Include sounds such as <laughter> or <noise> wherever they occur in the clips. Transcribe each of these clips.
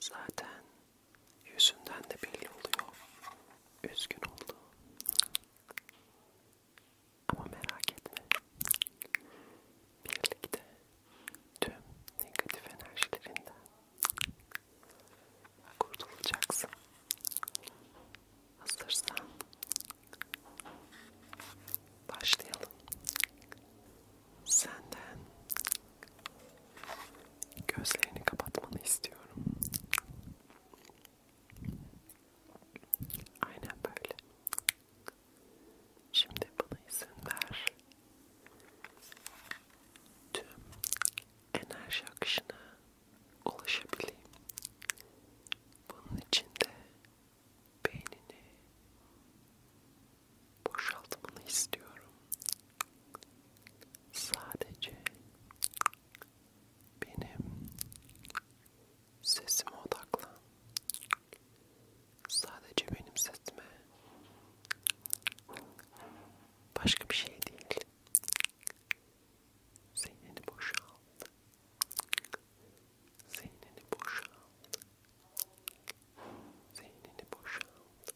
Zaten yüzünden de belli oluyor. Üzgün oldu. Ama merak etme. Birlikte tüm negatif enerjilerinden kurtulacaksın. Hazırsan başlayalım senden gözlerini kapatmanı istiyorum. Aynen böyle. Şimdi bana izin ver. Tüm enerji akışına ulaşabileyim. Bunun için de beynini boşaltmanı istiyorum. Sadece benim sesime odaklan. Sadece benim sesime. Başka bir şey değil. Zihnini boşalt. Zihnini boşalt. Zihnini boşalt.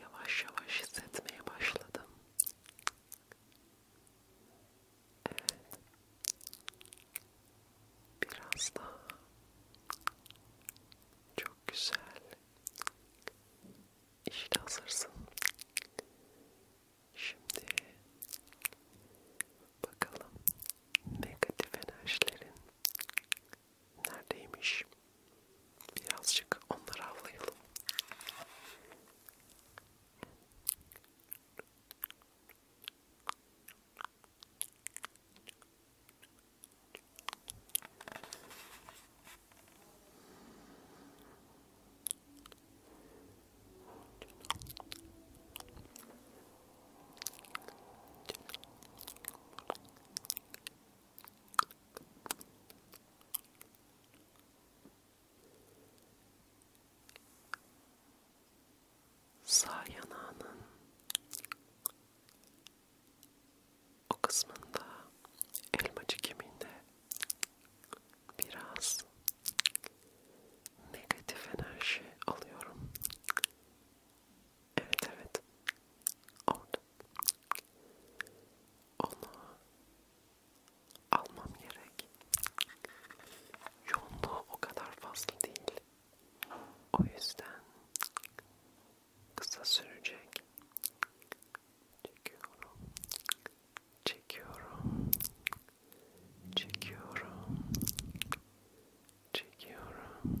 Yavaş yavaş hissetmeye başladım. Evet. Biraz daha. Çok güzel. İşte hazırsın. Şimdi bakalım negatif enerjilerin neredeymiş? Birazcık onları avlayalım. Sağ yanağının o kısmında elmacık kemiğinde biraz negatif enerji alıyorum. Evet evet Orada. Onu almam gerek. Yoğunluğu o kadar fazla değil. O yüzden kısa sürecek. Çekiyorum. Çekiyorum. Çekiyorum. Çekiyorum.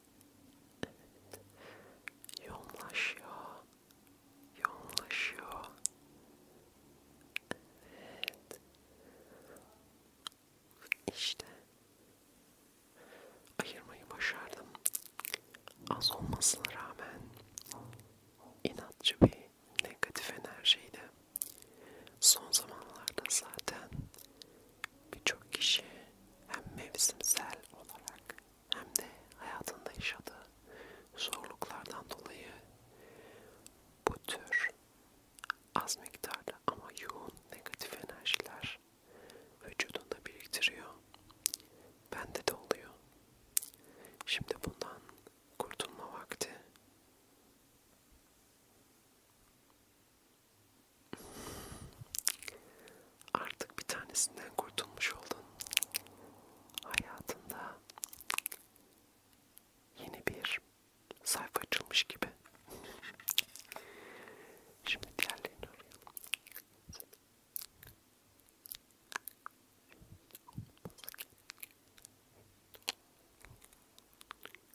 Evet. Yoğunlaşıyor. Yoğunlaşıyor. Evet. İşte. Ayırmayı başardım. Az olmasına rağmen inatçı bir negatif enerjiydi. Son zamanlarda zaten birçok kişi hem mevsimsel olarak hem de hayatında yaşadığı zorluklardan dolayı bu tür az miktarda ama yoğun negatif enerjiler vücudunda biriktiriyor. Bende de oluyor. Şimdi bundan kurtulma vakti. Artık bir tanesinden kurtulmuş oldun. Hayatında yeni bir sayfa açılmış gibi. Şimdi diğerlerini arayalım.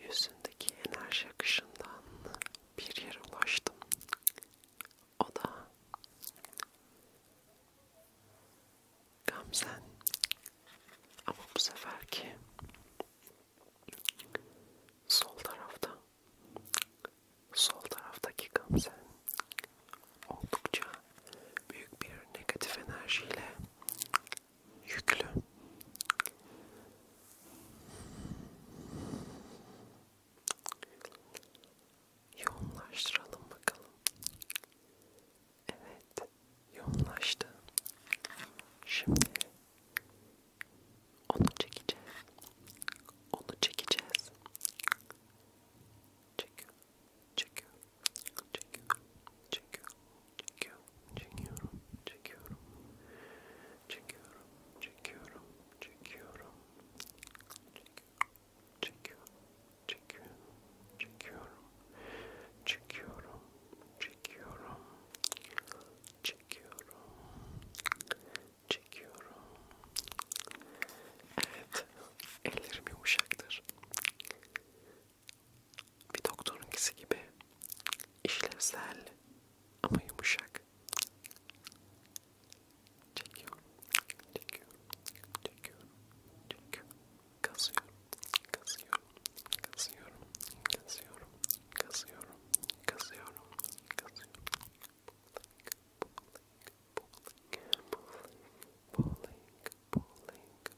yüzündeki enerji akışından bir yere ulaştım. O da Gamzen. Ama bu seferki sol tarafta. Sol taraftaki Gamzen oldukça büyük bir negatif enerjiyle yüklü. Yoğunlaştıralım bakalım. Evet, yoğunlaştı. Şimdi onu çekeceğiz. Onu çekeceğiz. Çekiyor, çekiyor, çekiyor, çekiyor, çekiyorum, çekiyorum, çekiyorum, çekiyorum, çekiyorum, çekiyorum, çekiyorum, çekiyorum, çekiyorum, çekiyorum, çekiyorum, çekiyorum, çekiyorum. Evet, ellerim yumuşaktır bir doktorunkisi gibi işlevsel ama yumuşak çekiyorum, çekiyorum, çekiyorum, çekiyorum, kazıyorum, kazıyorum, kazıyorum, kazıyorum, kazıyorum, kazıyorum, kazıyorum, bowling, bowling, bowling,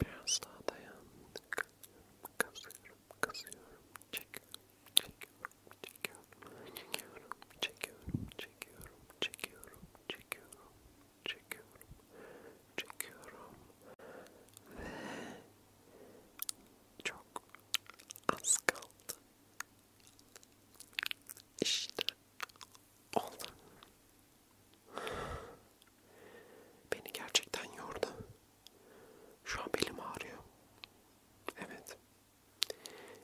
Biraz daha dayandık. Kasıyorum, kasıyorum, çekiyorum, çekiyorum, çekiyorum, çekiyorum, çekiyorum, çekiyorum, çekiyorum, çekiyorum, çekiyorum, çekiyorum ve çok az kaldı. İşte oldu. Beni gerçekten yordu. Şu an belim ağrıyor. Evet.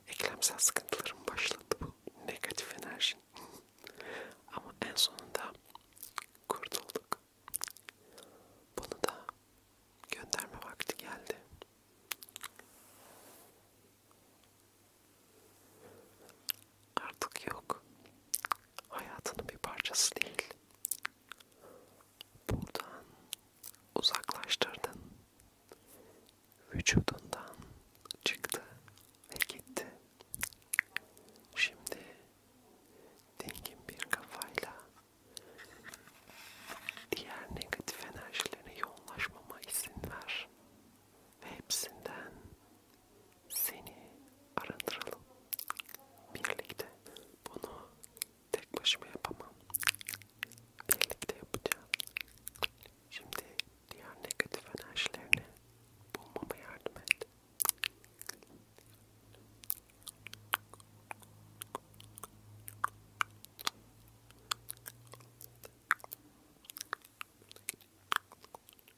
Eklemsel sıkıntılarım başladı bu negatif enerji. <laughs> Ama en sonunda kurtulduk. Bunu da gönderme vakti geldi artık yok. Hayatının bir parçası değil. Buradan uzaklaştırdın. Vücudundan çıktı ve gitti. Şimdi dingin bir kafayla diğer negatif enerjilerine yoğunlaşmama izin ver ve hepsinden seni arındıralım. Birlikte bunu tek başıma yapamam. Birlikte yapacağım. Şimdi diğer negatif enerjilerini bulmama yardım et. Şimdi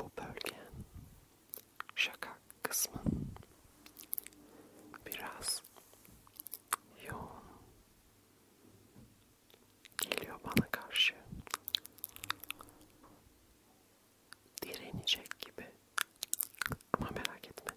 Bu bölge şakak kısmı biraz yoğun geliyor bana karşı direnecek gibi ama merak etme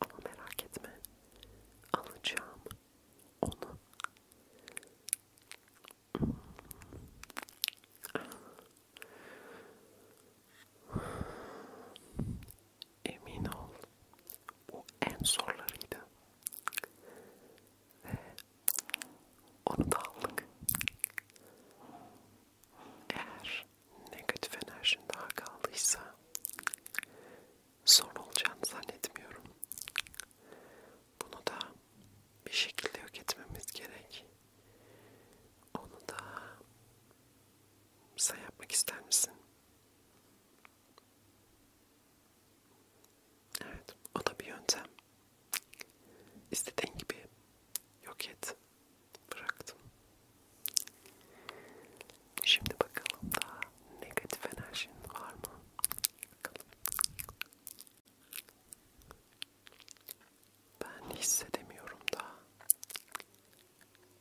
Ama merak etme. Alacağım onu. Hmm. Emin ol. Bu en zorlarıydı. Ve onu da aldık. Eğer negatif enerjin daha kaldıysa sorun olacağını zannetmiyorum. Bunu da bir şekilde yok etmemiz gerek. Onu da sen yapmak ister misin? Evet, o da bir yöntem. İstediğin gibi yok et bıraktım. Şimdi bakalım daha negatif enerjin var mı? Bakalım. Ben hissedemiyorum daha.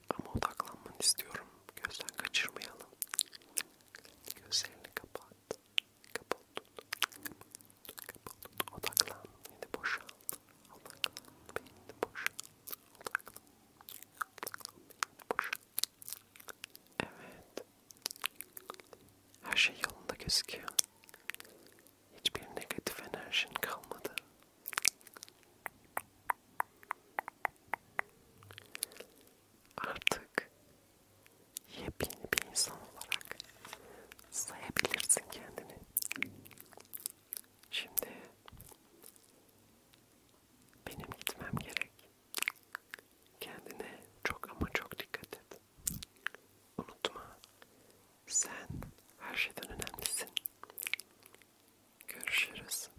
Ama odaklanmanı istiyorum. Gözden kaçırmayalım. Gözlerini kapat. Kapat. Kapat. Odaklan. Yine boşalt. Evet. Her şey yolunda gözüküyor. Hiçbir negatif enerjin kalmadı. Artık yepyeni bir insan olarak sayabilirsin kendini. Şimdi benim gitmem gerek. Kendine çok ama çok dikkat et. Unutma, sen her şeyden önemlisin. Görüşürüz.